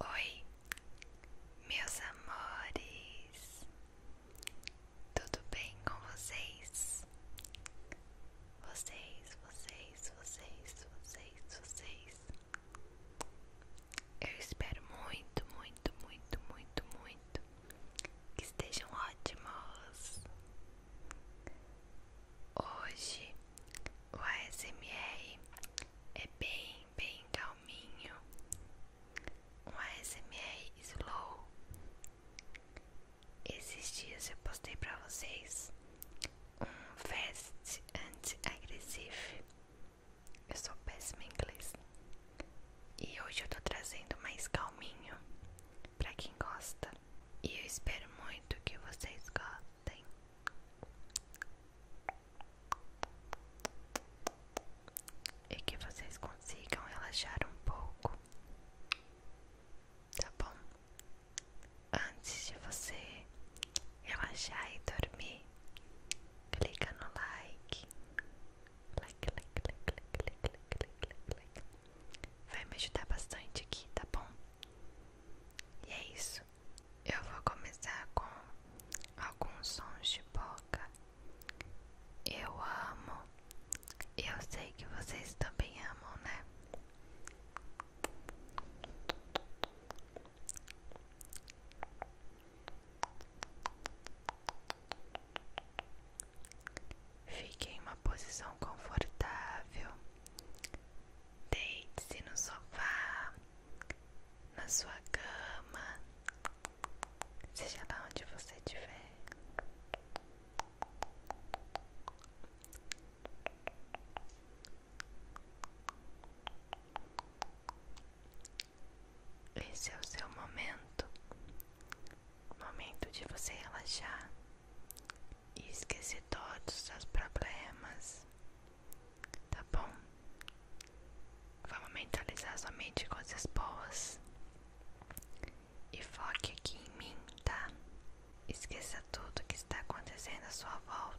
Oi, meus amores, tudo bem com vocês? Vocês, vocês, vocês, vocês, vocês. Eu espero muito, muito, muito, muito, muito que estejam ótimos. Hoje o ASMR é bem, bem calminho, um ASMR slow. Esses dias eu postei pra vocês um vest anti-agressivo. Eu sou péssima em inglês. E hoje eu tô trazendo mais calminho pra quem gosta. E eu espero muito que vocês gostem e é que vocês consigam relaxar um pouco, tá bom? Antes de você relaxar e dormir, clica no like. Like, like, like, like, like, like, like, like. Vai me ajudar bastante aqui, tá bom? E é isso. Eu vou começar com alguns sons de boca. Eu amo. Eu sei que vocês também amam, né? Fique em uma posição confortável. Deite-se no sofá na sua cama, seja lá onde você estiver. Esse é o seu momento, momento de você relaxar e esquecer todos os problemas, Tá bom? Vamos mentalizar somente coisas boas. E foque aqui em mim, tá? Esqueça tudo que está acontecendo à sua volta.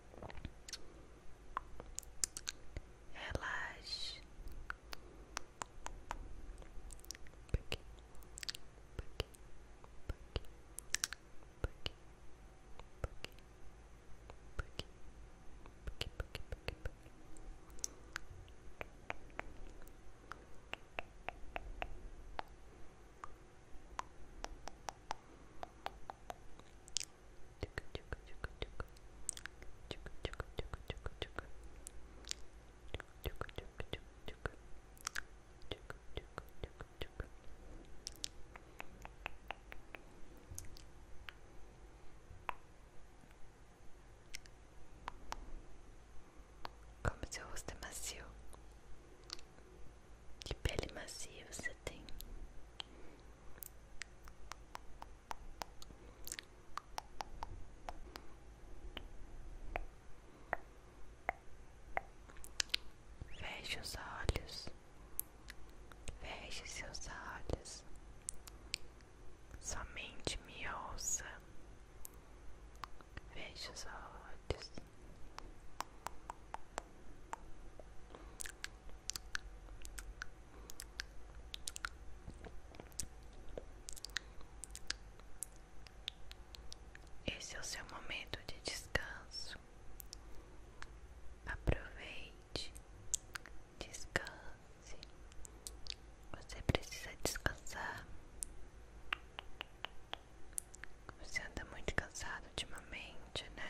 relaxe porque, porque, porque, porque, porque, porque, porque, porque, porque, porque. Como seu rosto é macio que pele macia você tem. Veja os olhos. veja seus olhos. Somente me ouça. Feche os olhos. Esse é o seu momento de descanso. Aproveite, descanse. Você precisa descansar. Você anda muito cansado ultimamente, né?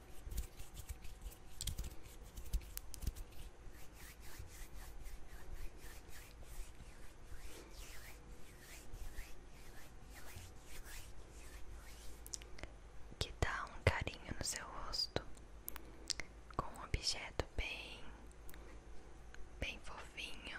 Que dá um carinho no seu rosto com um objeto bem, bem fofinho.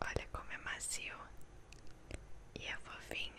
Olha como é macio e é fofinho.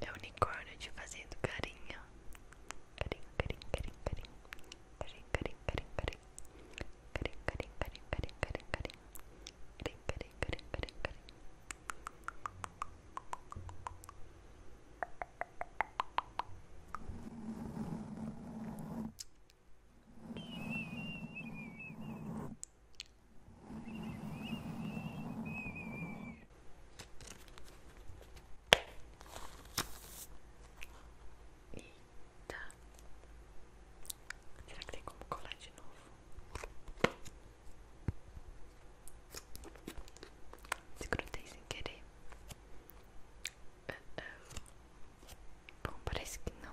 É o unicórnio te fazendo carinho. Carinho, carinho, carinho, carinho. Carinho, carinho, carinho, carinho. Carinho, carinho, carinho, carinho, carinho, carinho. Carinho, carinho, carinho, carinho, Eita. Será que tem como colar de novo? Desgrudei sem querer. Ah, ah. Bom, parece que não.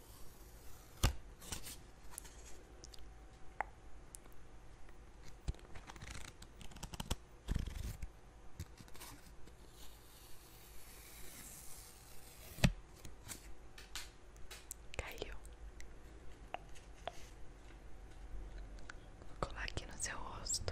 Caiu. colar aqui no seu rosto.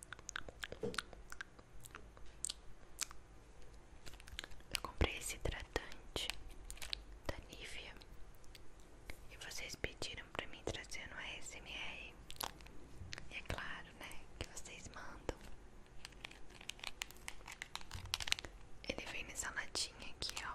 Eu comprei esse hidratante da Nivea e vocês pediram pra mim trazer no ASMR. E é claro, né, que vocês mandam. Ele vem nessa latinha aqui, ó.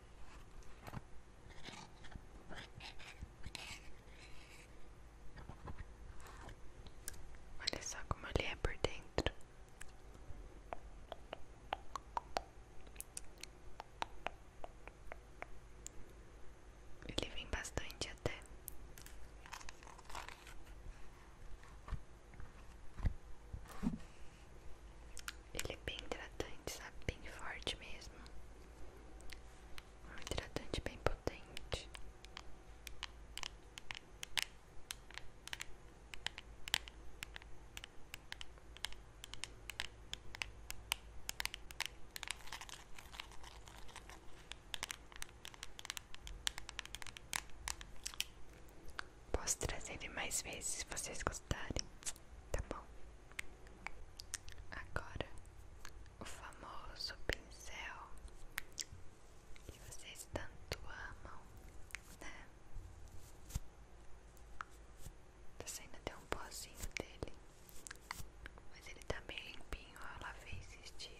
Olha só como ele é por dentro. Ele vem bastante até. Ele é bem hidratante, sabe? Bem forte mesmo. Um hidratante bem potente. Posso trazer ele mais vezes se vocês gostarem, tá bom? Agora o famoso pincel que vocês tanto amam, né? Tá saindo até um pozinho dele, mas ele tá bem limpinho. Eu lavei esses dias.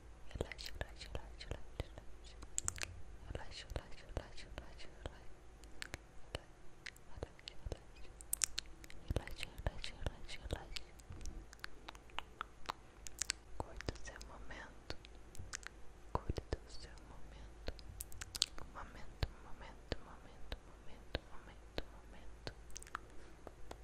relaxa, relaxa, relaxa, relaxa, relaxa, relaxa, relaxa, relaxa, relaxa, relaxa, relaxa, relaxa, curta o seu momento, curta o seu momento, momento, momento, momento, momento, momento, momento.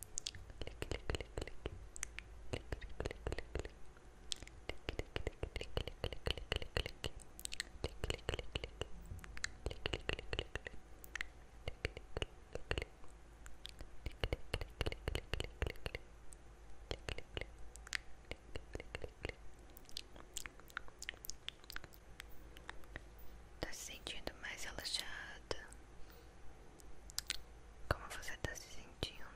clique, clique, clique, clique, clique, clique, Tá se sentindo mais relaxada. Como você tá se sentindo?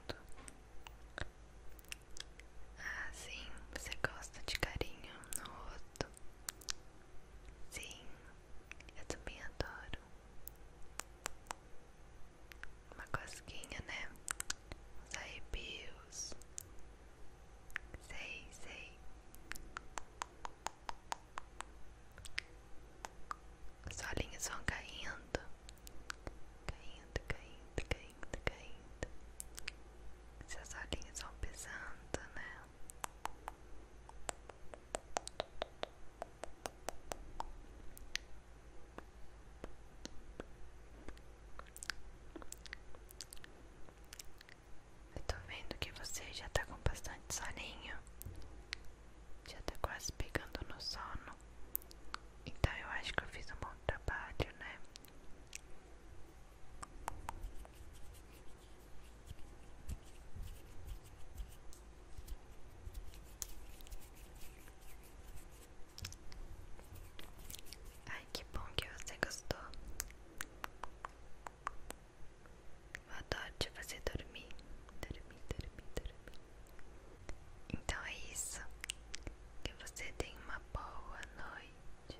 Ah, sim, você gosta de carinho no rosto? Sim, eu também adoro. Uma cosquinha, né? Os arrepios. Sei, sei. Os olhinhos vão caindo, caindo, caindo, caindo, caindo. Seus é olhinhos vão pesando, né? Eu tô vendo que você já tá com bastante soninho já tá quase pegando no sono. Então eu acho que eu fiz um bom trabalho, né? Ai, que bom que você gostou. Eu adoro te fazer dormir, dormir, dormir, dormir. Então é isso. Que você tenha uma boa noite.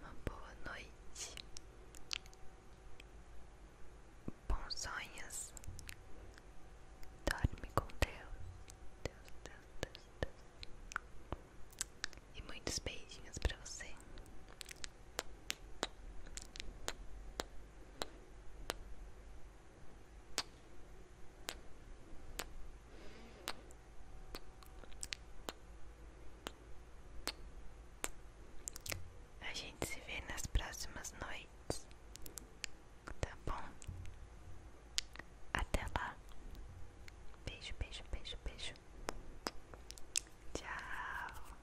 Uma boa noite. Bons sonhos. Dorme com Deus. Deus, Deus, Deus. E muitos beijinhos pra você. A gente se vê nas próximas noites, tá bom? Até lá. Beijo, beijo, beijo, beijo. Tchau.